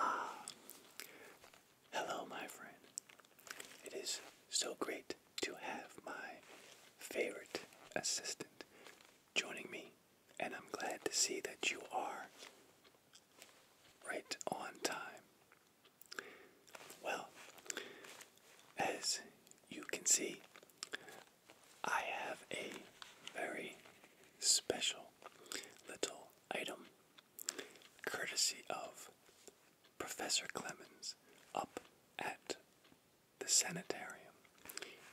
Ah, hello, my friend. It is so great to have my favorite assistant joining me and I'm glad to see that you are right on time. Well, as you can see, I have a very special little item courtesy of Professor Clemens up at the sanitarium.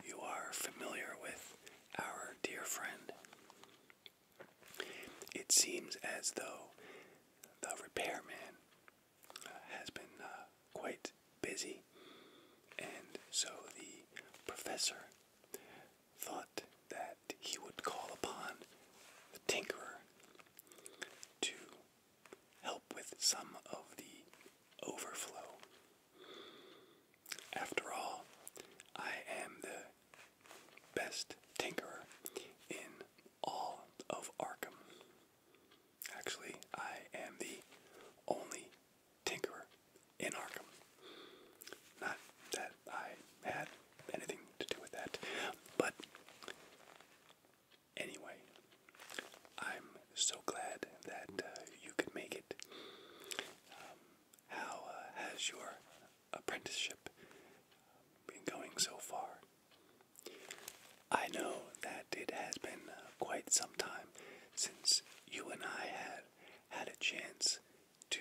You are familiar with our dear friend. It seems as though the repairman uh, has been uh, quite busy, and so the professor thought that he would call upon the tinkerer to help with some of the overflow after all, I am the best tinkerer in all of Arkham. Actually, I am the only tinkerer in Arkham. Not that I had anything to do with that, but anyway, I'm so glad that uh, you could make it. Um, how uh, has your apprenticeship been going so far? I know that it has been uh, quite some time since you and I had had a chance to,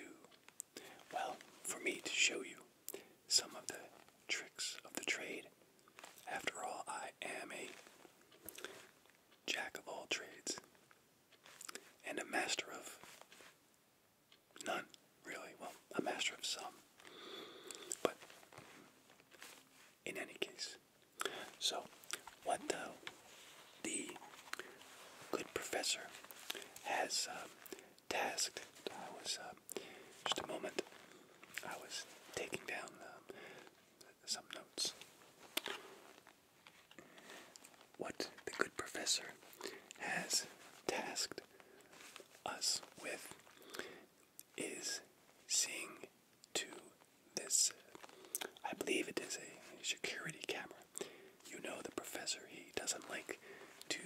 well, for me to show you some of the tricks of the trade. After all, I am a jack of all trades and a master of none, really. Well, a master of some. But in any case, so what the good professor has uh, tasked, I was uh, just a moment, I was taking down uh, some notes what the good professor has tasked us with is seeing to this, I believe it is a security camera. You know the professor, he doesn't like to,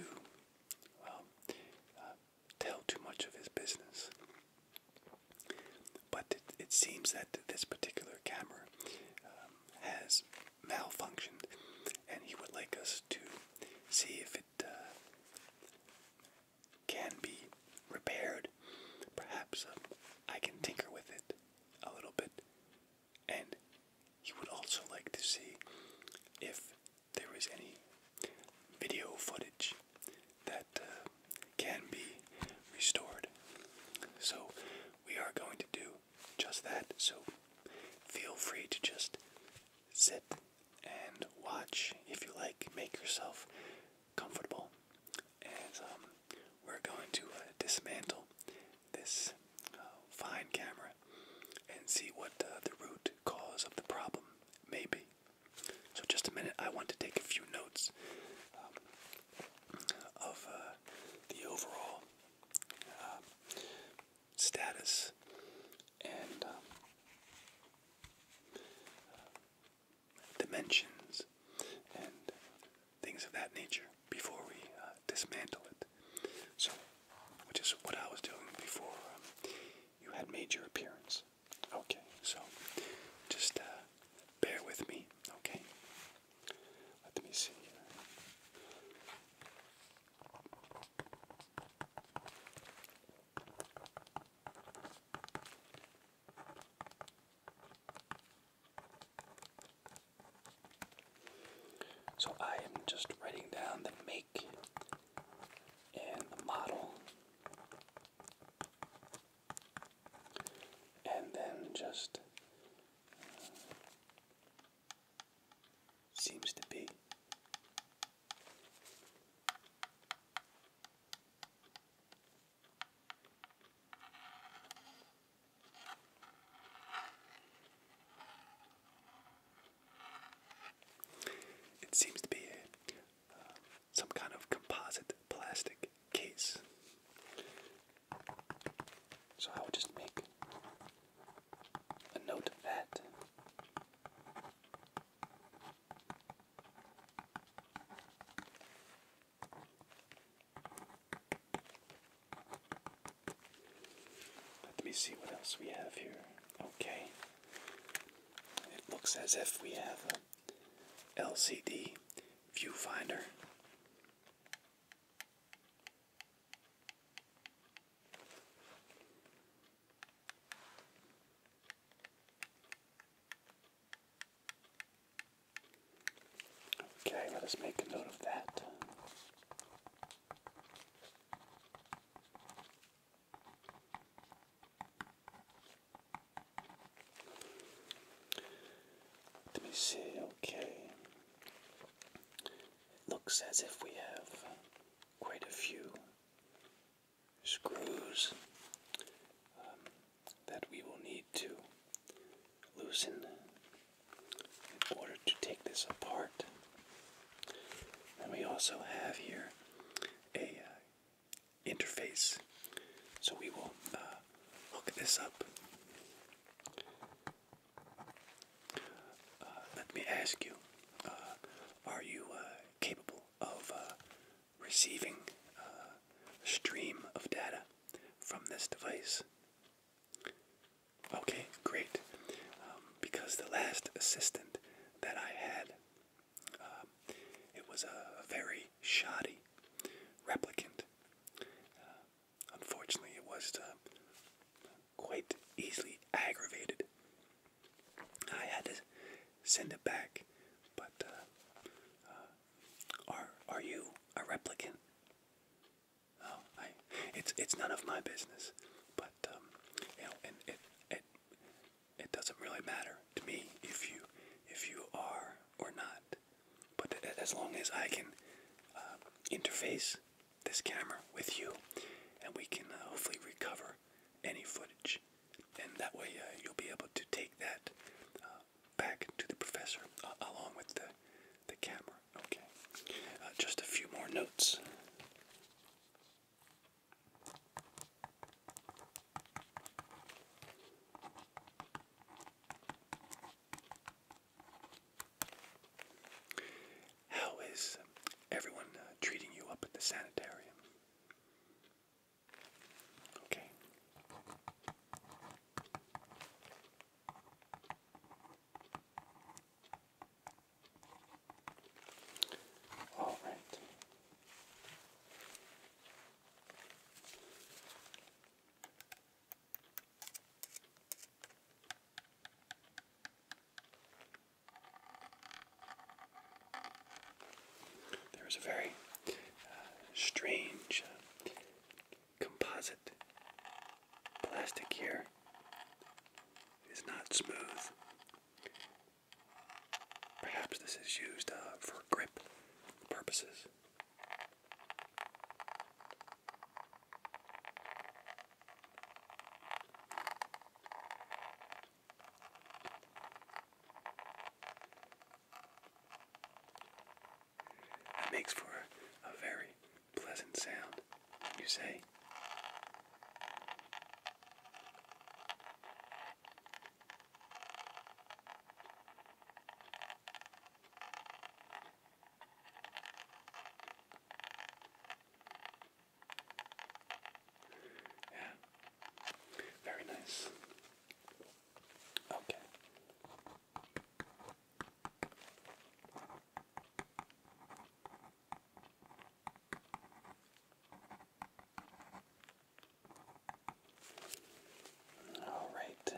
uh, tell too much of his business. But it, seems that this particular camera um, has malfunctioned, and he would like us to see if it uh, can be repaired. Perhaps um, I can tinker with it a little bit, and he would also like to see if there is any video footage that uh, can be restored. So we are going to do just that. So feel free to just sit and watch if you like. Make yourself comfortable. And um, we're going to uh, dismantle this uh, fine camera and see what uh, the root cause of the problem may be. So, just a minute, I want to take a few notes um, of the overall uh, status and um, uh, dimensions and things of that nature before we uh, dismantle it. So, which is what I was doing before um, you had made your appearance. Okay, so just bear with me, okay? Let me see So I am just writing down the make and the model, and then just Seems to be. It seems to be uh, some kind of composite plastic case. So I will just make a note of that. Let me see what else we have here. Okay. It looks as if we have LCD viewfinder Okay, let us make a note of that. Let me see, okay. It looks as if we have quite a few screws um, that we will need to loosen in order to take this apart. And we also have here a uh, interface, so we will uh, hook this up uh, let me ask you, uh, are you uh, capable of receiving a stream of data from this device? Okay, great. Um, because the last assistant that I had, um, it was a very shoddy replicant. Unfortunately, it was uh, quite easily aggravated. I had to send it back, but uh, uh, are are you a replicant? Oh, I, it's it's none of my business, but um, you know, and it it doesn't really matter to me if you if you are or not. But as long as I can uh, interface this camera with you, and we can uh, hopefully recover any footage, and that way uh, you'll be able to take that back to the professor along with the the camera. Okay. just a few more notes. How is everyone uh, treating you up at the sanitarium? Okay. All right. There is a very uh, strange uh, composite plastic here. It is not smooth. Perhaps this is used uh, for grip purposes. That makes for a very pleasant sound, you say? Yeah. Very nice. Okay. All right.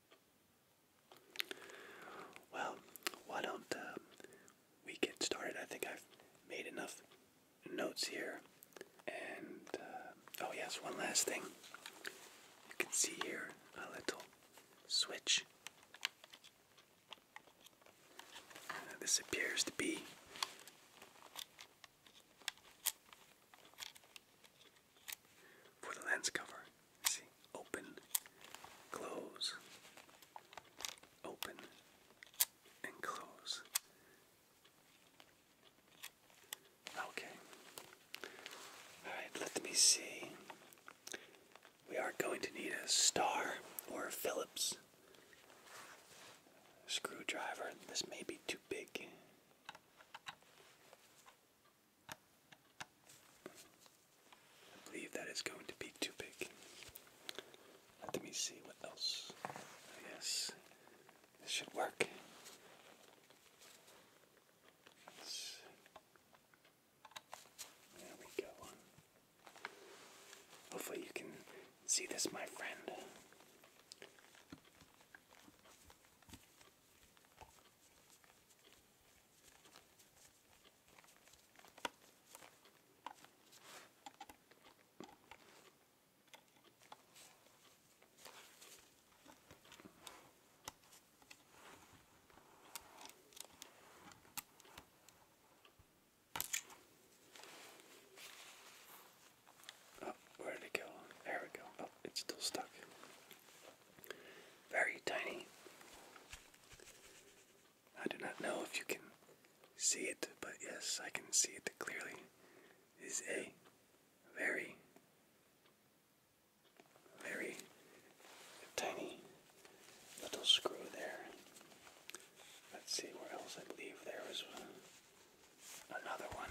Well, why don't uh, we get started? I think I've made enough notes here. And, uh, oh, yes, one last thing. You can see here a little switch. Uh, this appears to be for the lens cover. See, open, close, open, and close. Okay. Alright, let me see. We are going to need a star or a Phillips screwdriver. This may be too big. I believe that is going to be too big. Let me see what else. I oh, guess this should work. there we go. Hopefully, you can see this, my friend. Oh, where did it go? There we go. Oh, it's still stuck. Very tiny. I do not know if you can see it, but yes, I can see it clearly. Is a very, very tiny little screw there. Let's see where else I believe there was another one.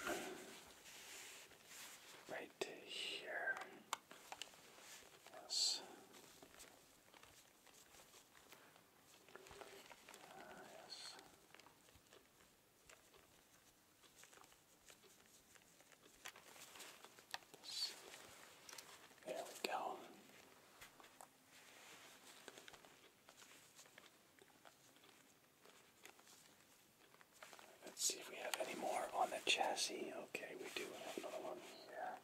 Right here. Yes. Yes. There we go. Let's see if we have any more on the chassis. Okay, we do have another one here.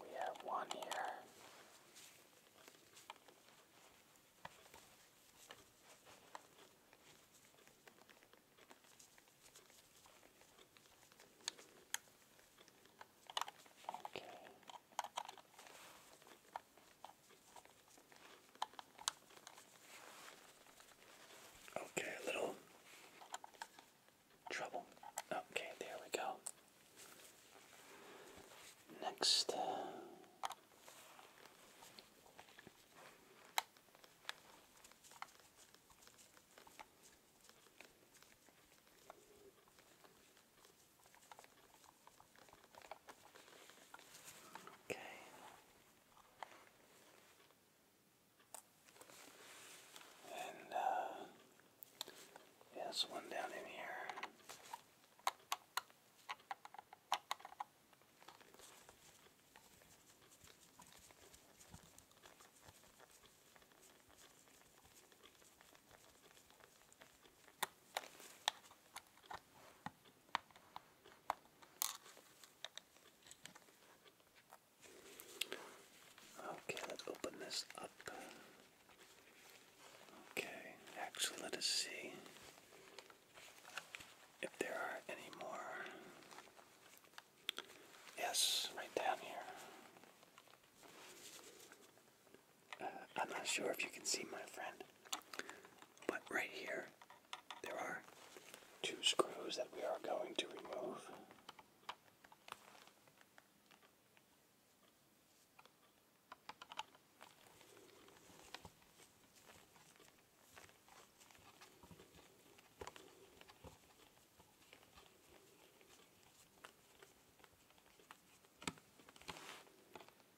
We have one here. Okay. Okay, little trouble. Okay, there we go. Next. Uh, Okay. And uh one down in here. Okay, let's open this up. Okay, actually, let us see if there are any more. Yes, right down here. I'm not sure if you can see my friend, but right here there are two screws that we are going to remove.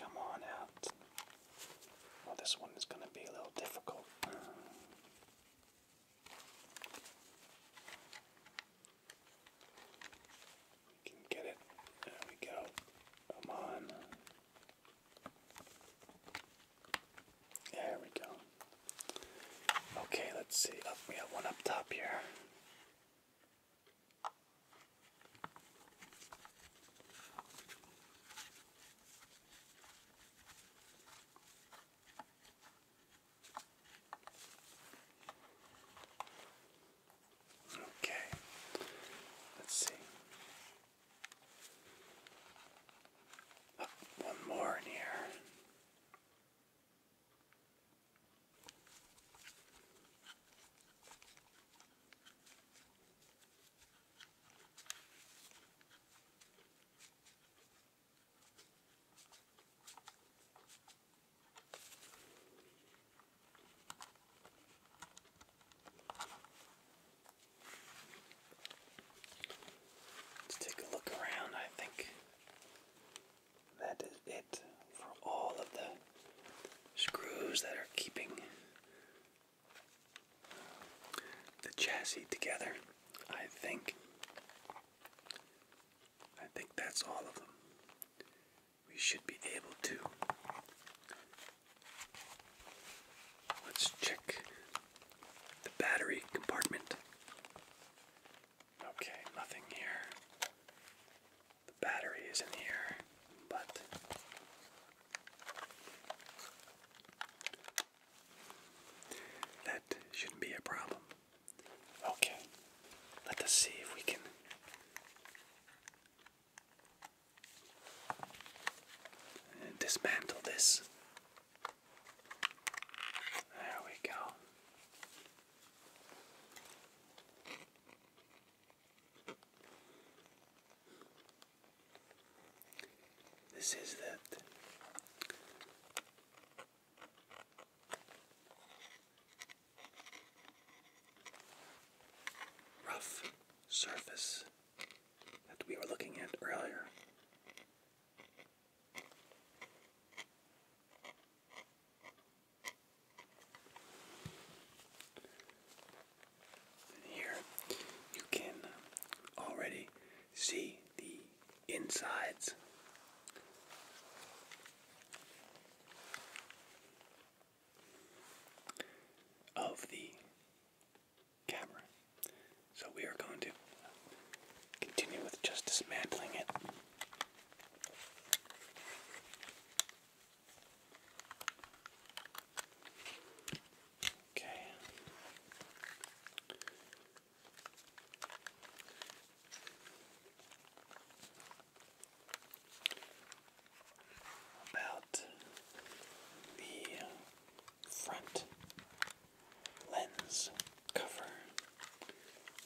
Come on out. Well, this one is going to be a little difficult. can get it. There we go. Come on. There we go. Okay, let's see. Up, oh, we have one up top here. Okay, let's see. Oh, one more in here. Let's take a look around. I think that is it for all of the screws that are keeping the chassis together. I think I think that's all of them. We should be able to Let's check the battery compartment. Okay, nothing here. The battery is in here, but that shouldn't be a problem. Okay, let us see if we can. Dismantle this. There we go. This is that rough surface that we were looking at earlier here you can already see the insides. Of the camera. So we are going to continue with just dismantling it. Okay. About the front lens cover,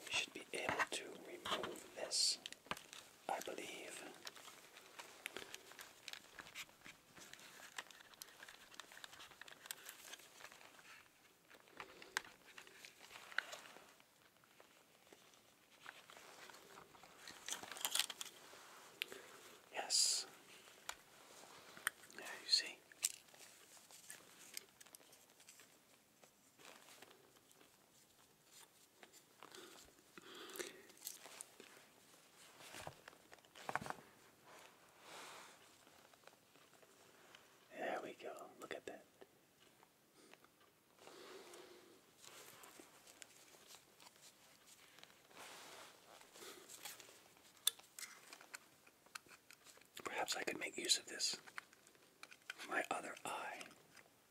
we should be able to remove this I believe. Yes. There you see. There we go. Look at that. Perhaps I could make use of this. My other eye.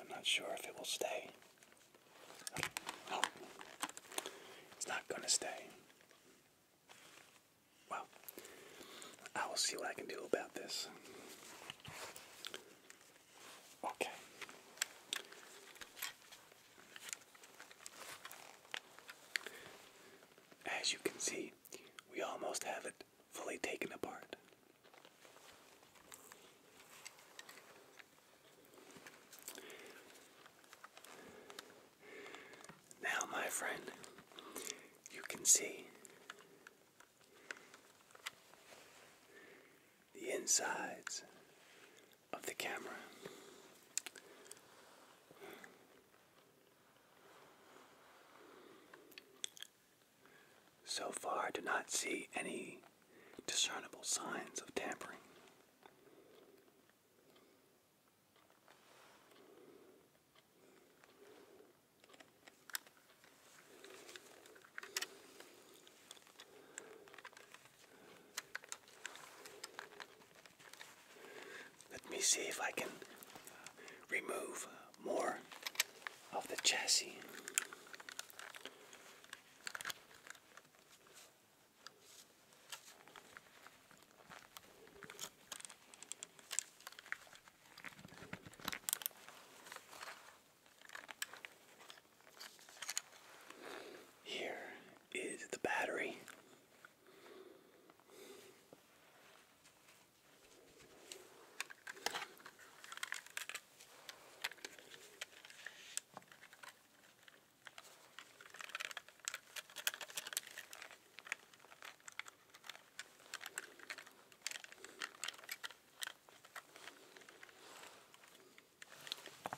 I'm not sure if it will stay. Oh. it's not gonna stay. Well, I will see what I can do about this. Okay. As you can see, we almost have it fully taken apart. Now, my friend, you can see the insides of the camera. So far, I do not see any discernible signs of tampering. Let me see if I can remove uh, more of the chassis. Here is the battery.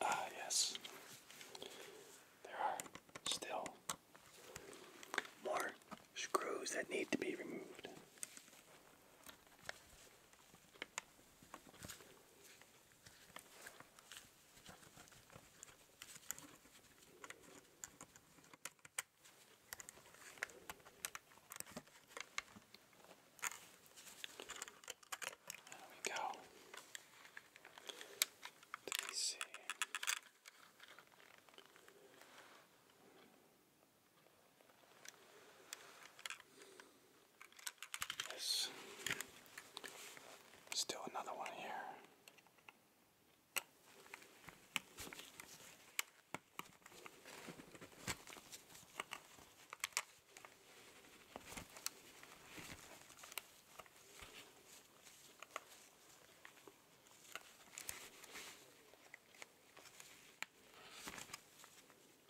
Ah, yes, there are still more screws that need to be removed. There we go. Let me see. There's still another one here.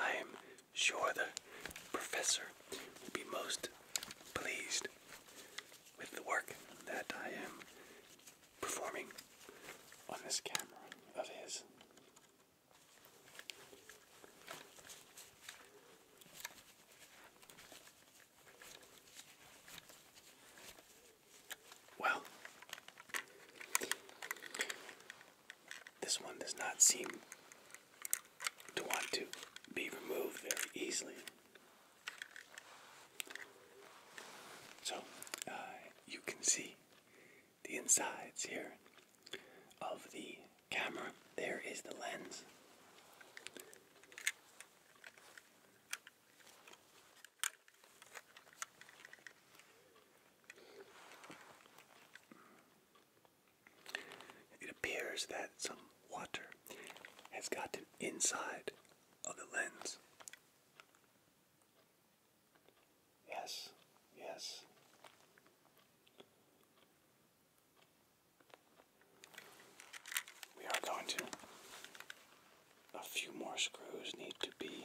I am sure the professor will be most pleased with the work that I am performing on this camera of his. Well, this one does not seem to want to be removed very easily. So, uh, you can see the insides here of the camera. There is the lens. It appears that some water has gotten inside of the lens. Yes, yes. We are going to. A few more screws need to be.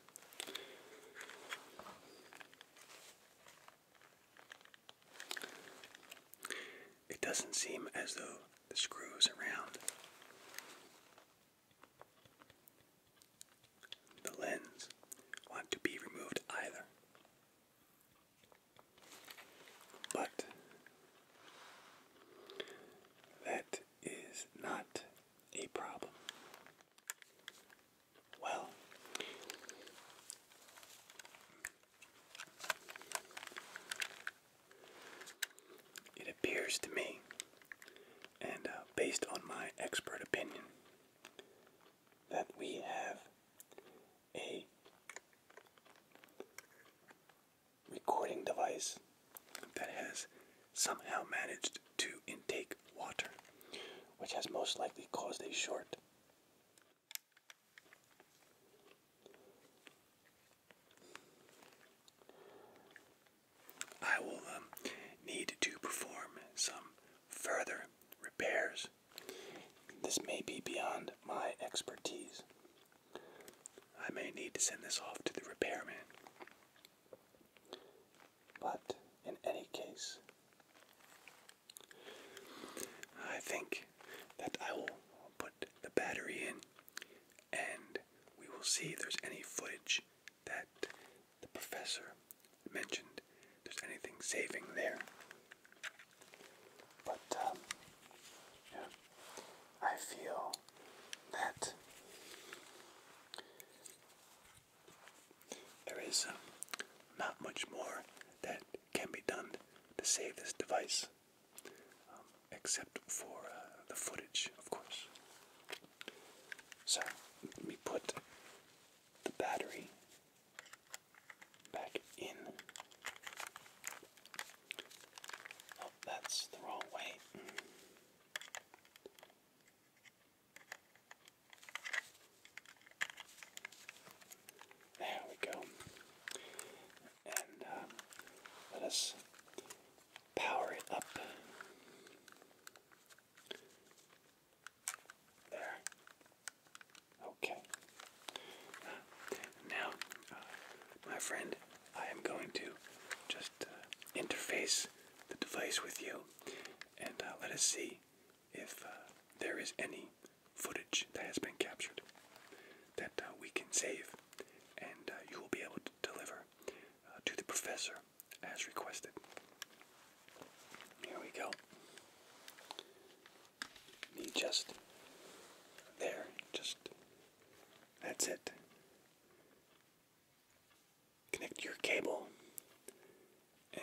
It doesn't seem as though the screws around the lens want to be removed either. But that is not a problem. Well, it appears to me, and uh, based on my expert opinion, that we have a recording device that has somehow managed to intake water, which has most likely caused a short. I will um, need to perform some further repairs. This may be beyond my expertise. I may need to send this off to the repairman. But in any case, I think that I will put the battery in and we will see if there's any footage that the professor mentioned. there's anything saving there. But, um, I feel that there is uh, not much more that can be done to save this device, um, except for uh, the footage, of course. So, let me put the battery back in. Oh, that's the wrong way. There we go. And uh, let us power it up. There. Okay. now, uh, my friend, I am going to just uh, interface the device with you and let us see if uh, there is any footage that has been captured that uh, we can save, and uh, you will be able to deliver to the professor as requested. Here we go. Me just there, just that's it connect your cable and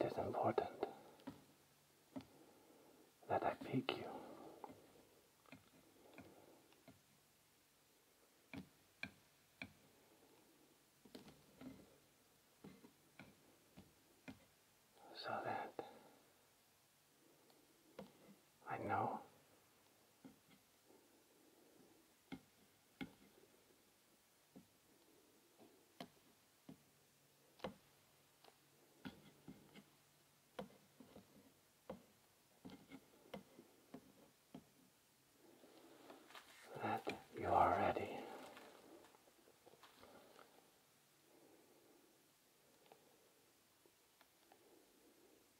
It is important that I pick you. So that I know that you are ready.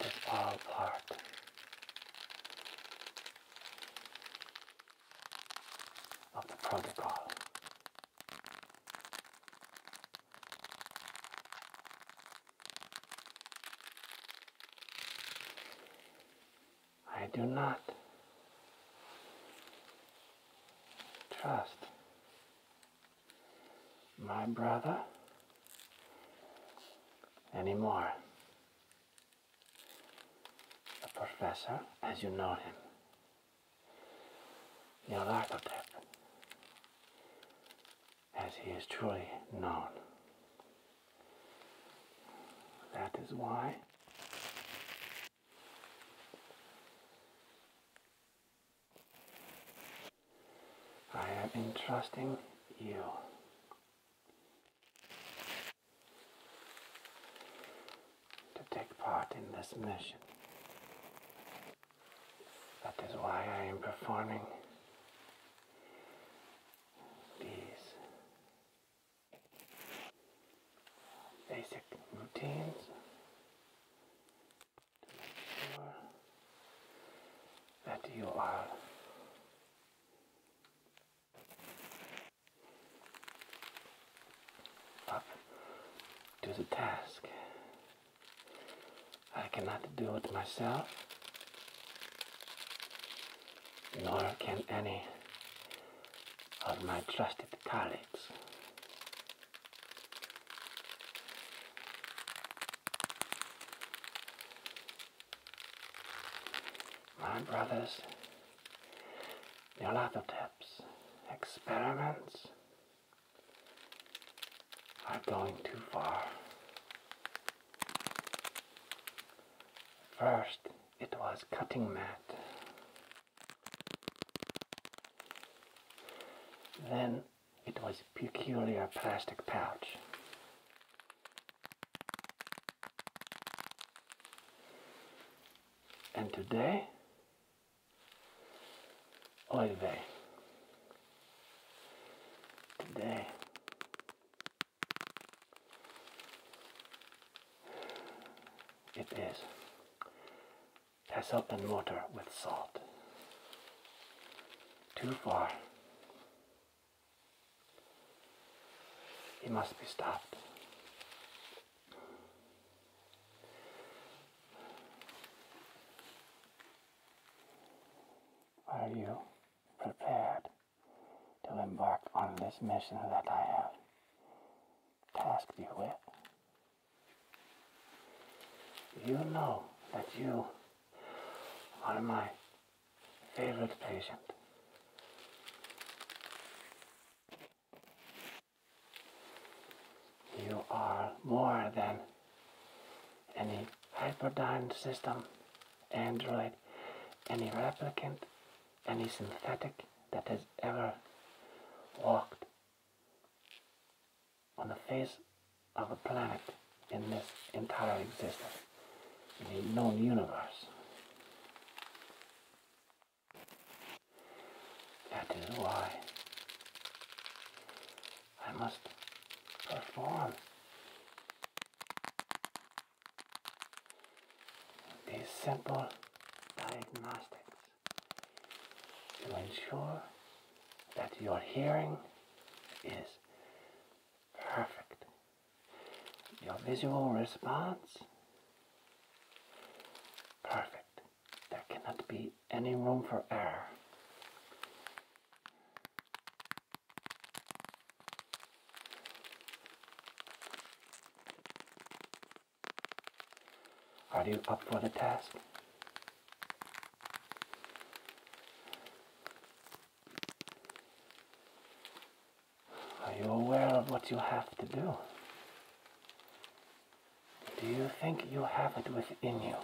It all part. Of the protocol. I do not Trust. My brother. Anymore. The professor, as you know him. The Alarkotep. As he is truly known. That is why I am entrusting you. To take part in this mission. That is why I am performing these basic routines to make sure that you are up to the task. I cannot do it myself, nor can any are my trusted colleagues, My brothers, Neolatoteps experiments are going too far. First, it was cutting mat. Then it was a peculiar plastic pouch. And today, oil vein. Today, it is Tess and water with salt. Too far. He must be stopped. Are you prepared to embark on this mission that I have task with. You know that you are my favorite patient. You are more than any hyperdyne system, android, any replicant, any synthetic that has ever walked on the face of a planet in this entire existence, in the known universe. That is why I must perform these simple diagnostics to ensure that your hearing is perfect. Your visual response, perfect. There cannot be any room for error. Are you up for the task? Are you aware of what you have to do? Do you think you have it within you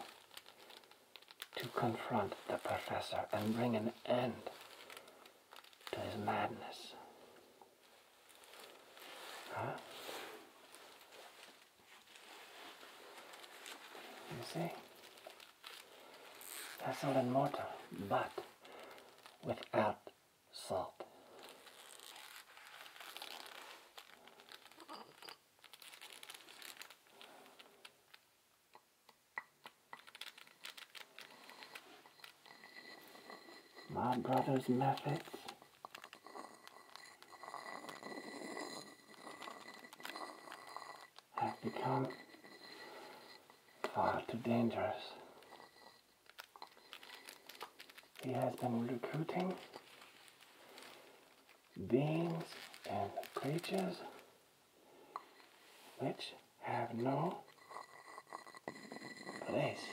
to confront the professor and bring an end to his madness? Huh? You see? That's not in mortar, but without salt. My brother's methods have become far too dangerous. He has been recruiting beings and creatures which have no place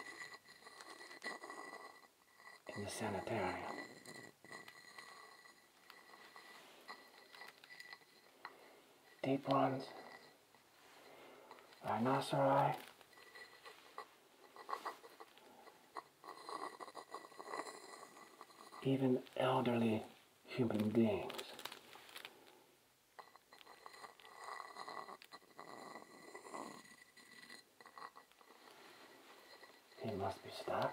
in the sanitarium. Deep ones, rhinoceri, even elderly human beings. He must be stuck.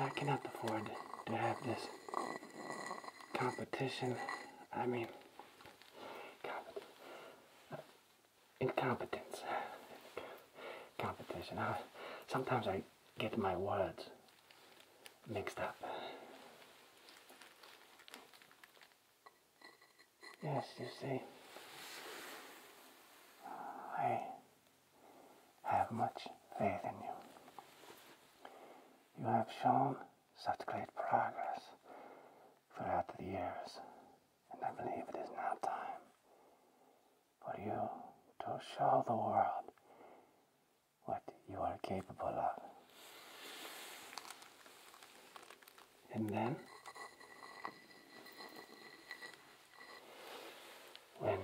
I cannot afford to have this competition. I mean, uh, incompetence. Competition. sometimes I get my words mixed up. Yes, you see, uh, I have much faith in you. You have shown such great progress throughout the years, and I believe it is now time for you to show the world what you are capable of. And then, when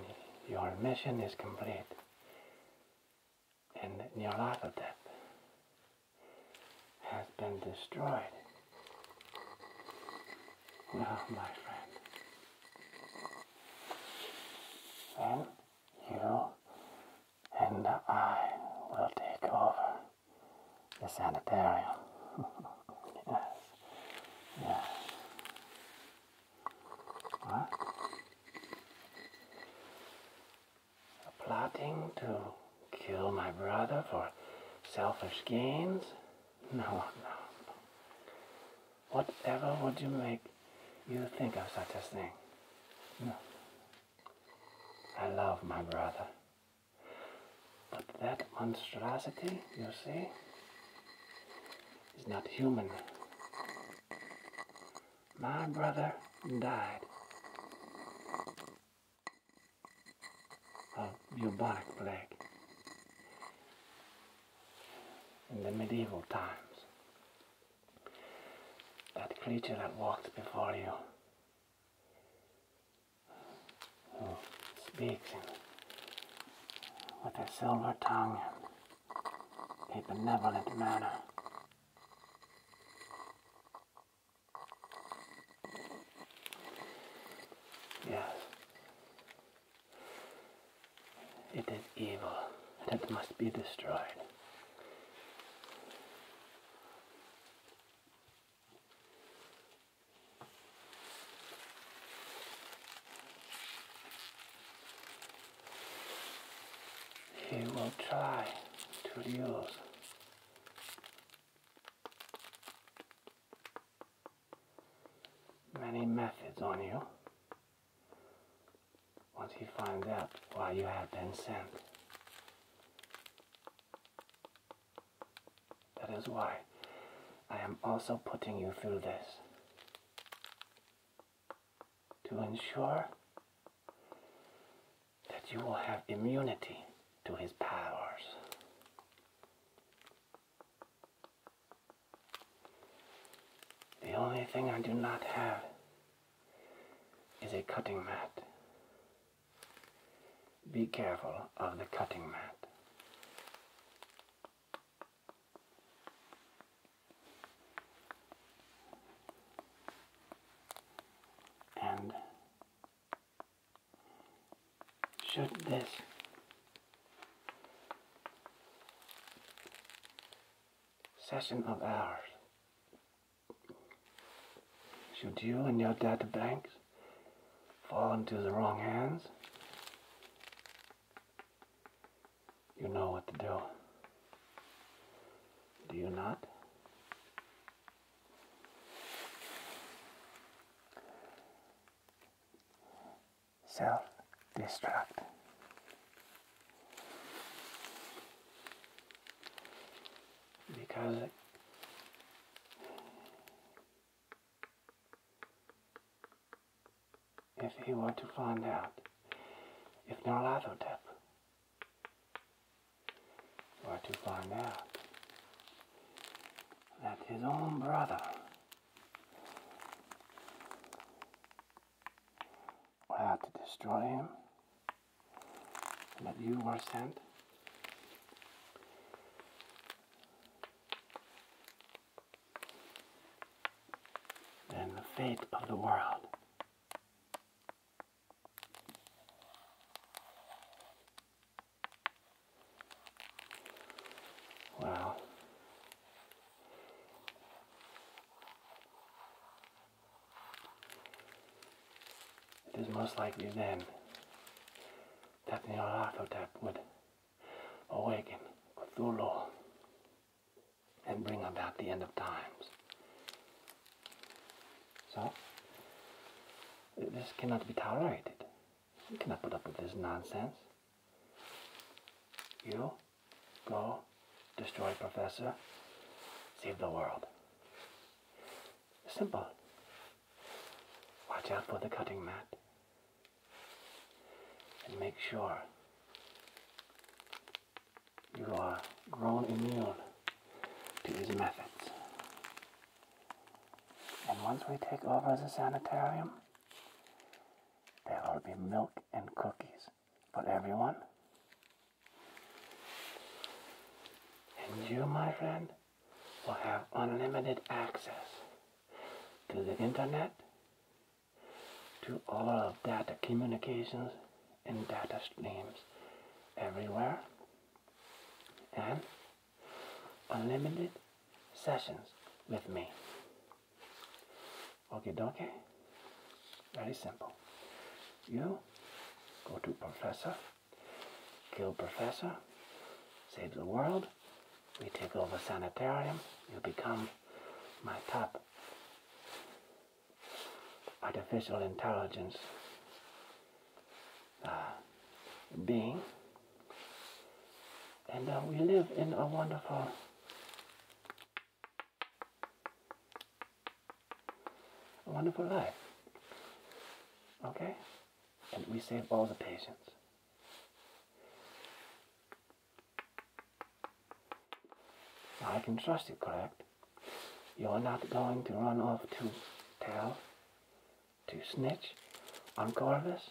your mission is complete and your artifact has been destroyed, well, my friend, well, you and I will take over the sanitarium. yes. Yes. What? Plotting to kill my brother for selfish gains? No, no, Whatever would you make you think of such a thing? I love my brother. But that monstrosity, you see, is not human. My brother died of bubonic plague in the medieval times that creature that walked before you. Who speaks with a silver tongue a benevolent manner. Yes, it is evil and it must be destroyed. He will try to use many methods on you once you find out why you have been sent, that is why I am also putting you through this. To ensure that you will have immunity to his powers. The only thing I do not have is a cutting mat. Be careful of the cutting mat. And should this session of ours. Should you and your data banks fall into the wrong hands, you know what to do. Do you not? self-destruct. Because if he were to find out if Narlathotep were to find out that his own brother I had to destroy him. But you were sent and the fate of the world. Well, it is most likely then that Nyarlathotep would awaken Cthulhu and bring about the end of times. So, this cannot be tolerated. You cannot put up with this nonsense. You Go, destroy Professor, save the world. Simple. Watch out for the cutting mat. And make sure you are grown immune to his methods. And once we take over the sanitarium, there will be milk and cookies but everyone. And you, my friend, will have unlimited access to the internet, to all of data communications and data streams everywhere, and unlimited sessions with me. Okay, donkey. Very simple. You go to Professor, kill Professor, save the world. We take over Sanitarium. You become my top artificial intelligence uh, being. And uh, we live in a wonderful a wonderful life. Okay? And we save all the patients. I can trust you, correct? You're not going to run off to tell, to snitch on Corvus?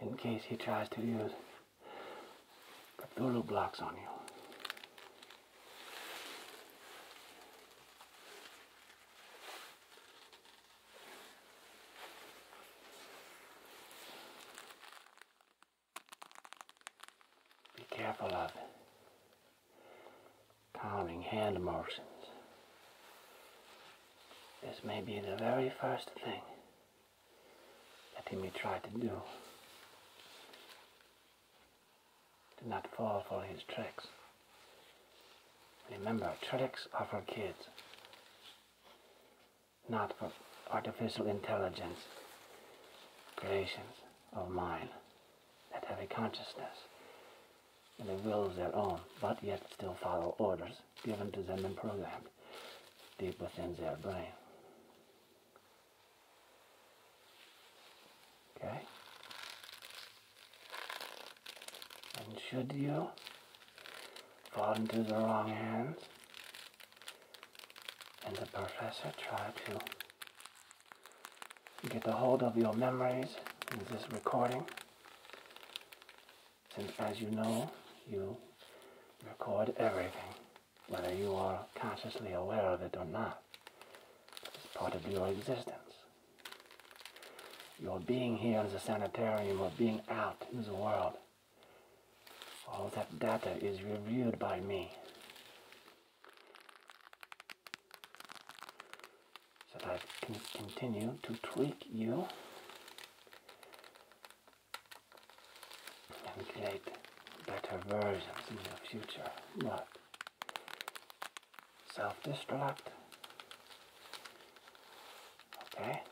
in case he tries to use little blocks on you. Be careful of counting hand motions. This may be the very first thing that he may try to do. Do not fall for his tricks. Remember, tricks are for kids, not for artificial intelligence creations of mine that have a consciousness and a will of their own, but yet still follow orders given to them and programmed deep within their brain. Okay? And should you fall into the wrong hands, and the professor try to get a hold of your memories in this recording, since as you know, you record everything, whether you are consciously aware of it or not. It's part of your existence. Your being here in the sanitarium or being out in the world, all that data is reviewed by me so I can continue to tweak you and create better versions in the future, not self-destruct. Okay,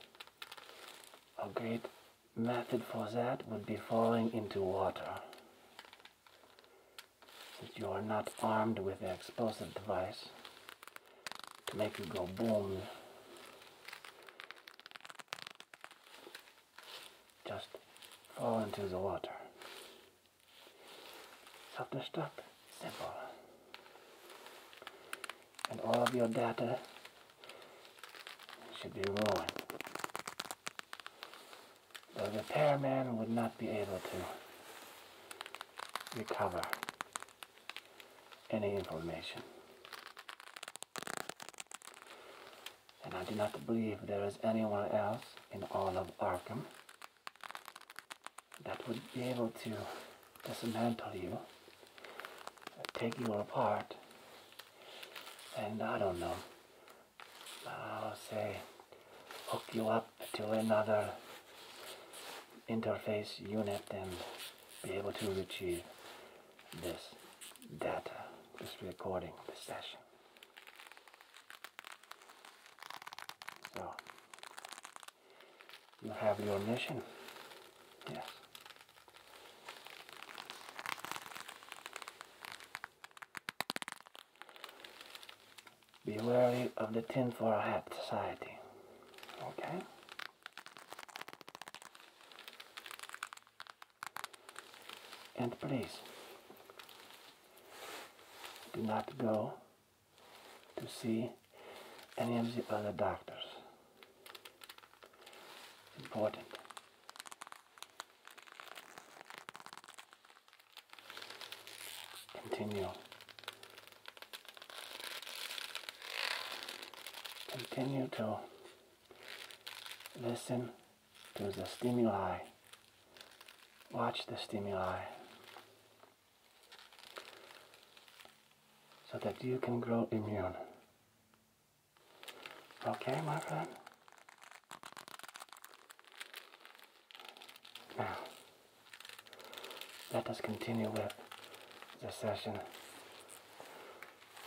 a great method for that would be falling into water. Since you are not armed with the explosive device, to make it go boom. Just fall into the water. After step, simple. And all of your data should be ruined. The repairman would not be able to recover any information. And I do not believe there is anyone else in all of Arkham that would be able to dismantle you, take you apart, and I don't know, I'll say hook you up to another interface unit and be able to retrieve this data, this recording, this session. So, you have your mission. Yes. Be wary of the tin foil hat society. Okay? And please do not go to see any of the other doctors. Important. Continue Continue to listen to the stimuli. Watch the stimuli so that you can grow immune. Okay, my friend? Now, let us continue with the session.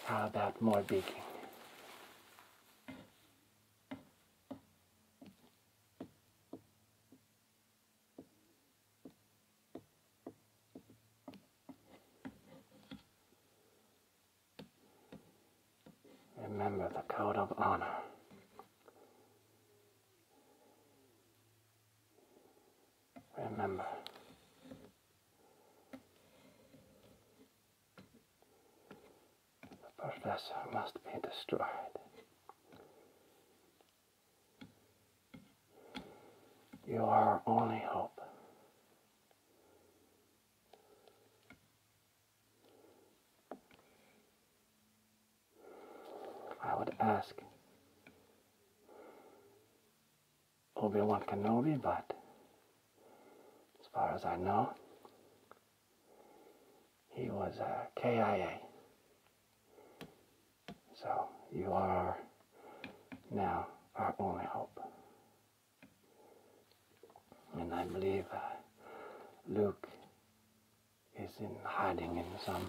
How about more beaking? Remember the code of honor remember. The professor must be destroyed. You are our only hope. I would ask Obi-Wan Kenobi, but as far as I know, he was a KIA. So you are now our only hope. And I believe uh, Luke is in hiding in some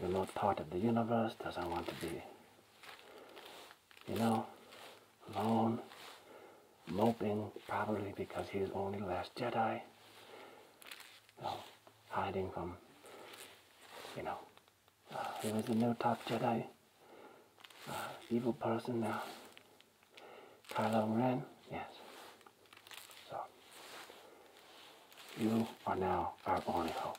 you're not part of the universe, doesn't want to be, you know, alone, moping, probably because he is only last Jedi, you know, hiding from, you know, he uh, was the new top Jedi, uh, evil person now, uh, Kylo Ren, yes. So, you are now our only hope.